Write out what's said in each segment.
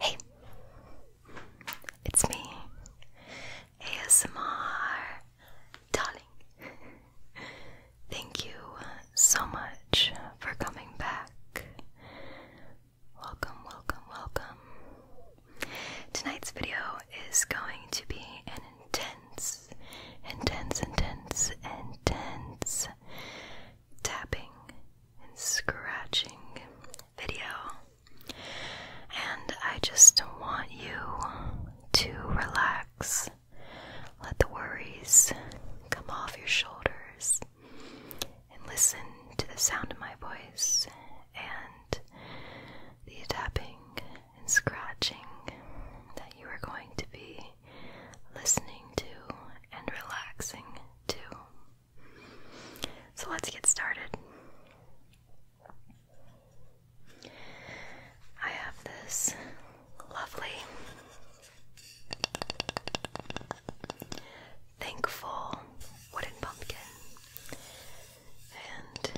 Hey, it's me, ASMR darling. Thank you so much for coming back. Welcome, welcome, welcome. Tonight's video is going to be an intense, intense, intense, intense tapping and scratching video. And I just want you to relax. Let the worries come off your shoulders and listen to the sound of my voice and the tapping and scratching that you are going to be listening to and relaxing too. So let's get started. I have this lovely, thankful wooden pumpkin, and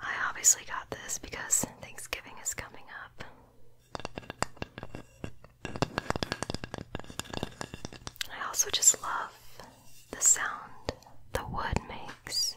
I obviously got this because Thanksgiving is coming up. I also just love the sound the wood makes.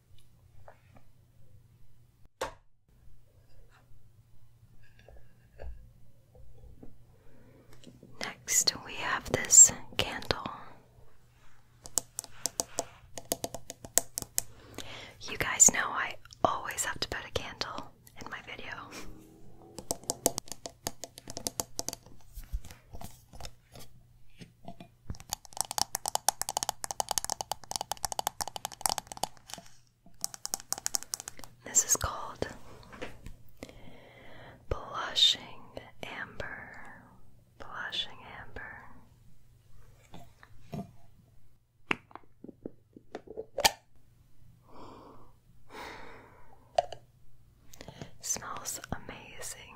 Next, we have this candle. You guys know I always have to put a candle in my video. This is called blushing amber, blushing amber. Smells amazing.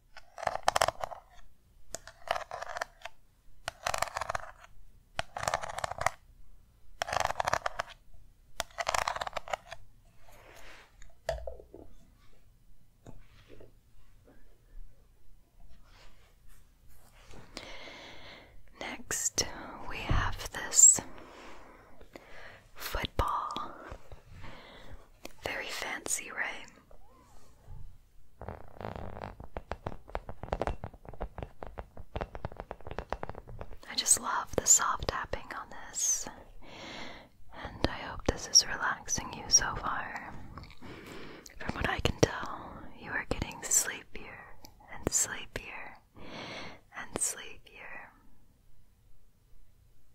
Next, we have this football. Very fancy, right? I just love the soft tapping on this, and I hope this is relaxing you so far. From what I can tell, you are getting sleepier and sleepier and sleepier.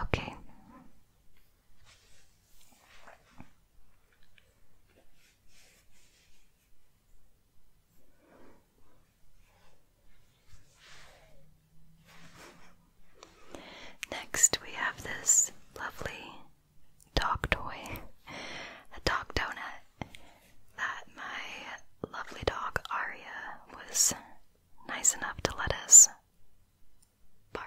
Okay. Next, we have this lovely dog toy, a dog donut that my lovely dog Aria was nice enough to let us borrow.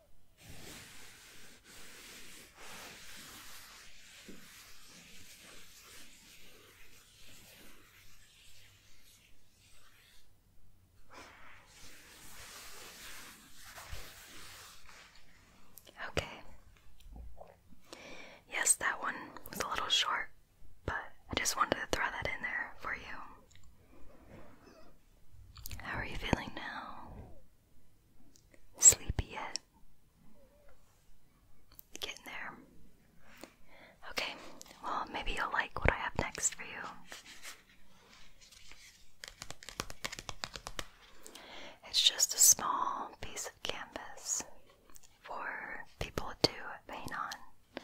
Okay. Yes, that one was a little short, but I just wanted to throw that in there for you. How are you feeling now? Sleepy yet? Getting there. Okay, well, maybe you'll like what I have next for you. It's just a small piece of canvas for people to paint on.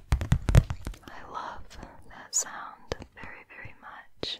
I love that sound very, very much.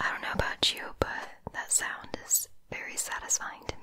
I don't know about you, but that sound is very satisfying to me.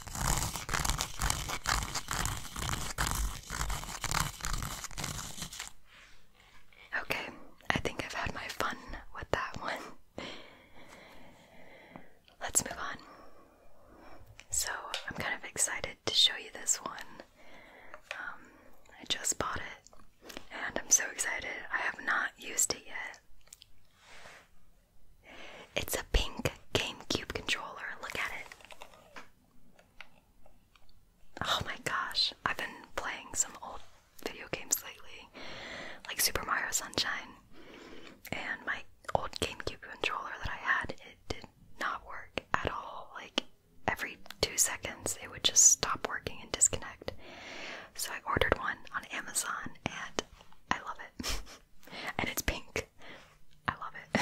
Okay, I think I've had my fun with that one. Let's move on. So, I'm kind of excited to show you this one. Um, I just bought it, and I'm so excited. I have not used it yet. It's a pink GameCube controller. Look at it. Oh my gosh, I've been playing some old video games lately, like Super Mario Sunshine, and my old GameCube controller that I had, it did not work at all. Like every two seconds, it would just stop working and disconnect. So I ordered one on Amazon, and I love it. and it's pink. I love it.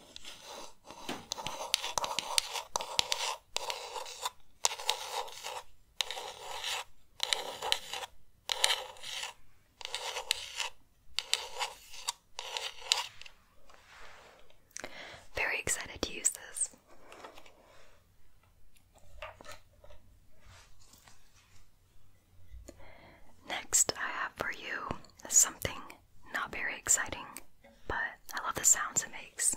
Very excited to use this. Next, I have for you something not very exciting, but I love the sounds it makes.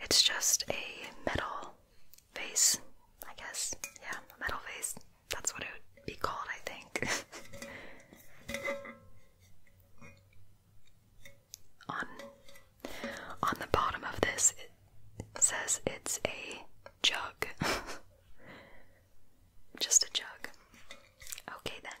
It's just a metal vase, I guess. Yeah, metal vase. That's what it would be called, I think. on on the bottom of this it says it's a jug. Just a jug. Okay then.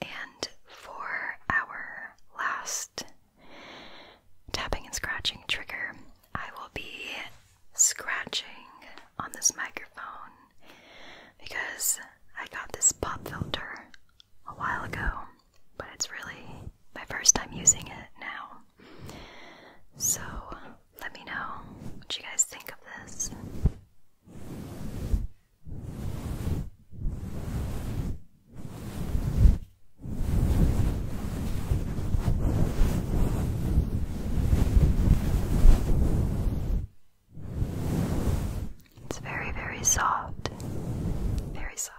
And for our last tapping and scratching trigger, I will be scratching on this microphone because I got this pop filter a while ago, but it's really my first time using it now. So let me know what you guys think of this. It's very, very soft. Very soft.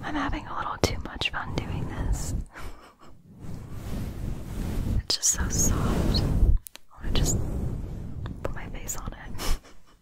I'm having a little too much fun doing this. it's just so soft. I want to just put my face on it.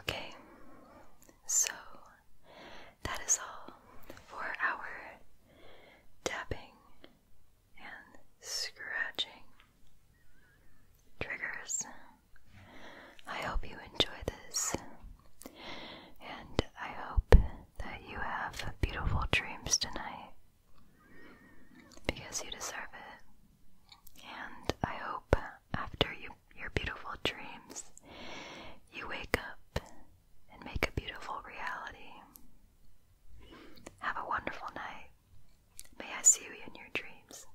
Okay, so that is all for our dabbing and scratching triggers. I hope you enjoy this, and I hope that you have beautiful dreams tonight because you deserve it. And I hope after you, your beautiful dreams, you wake up and make a beautiful reality. Have a wonderful night. May I see you in your dreams.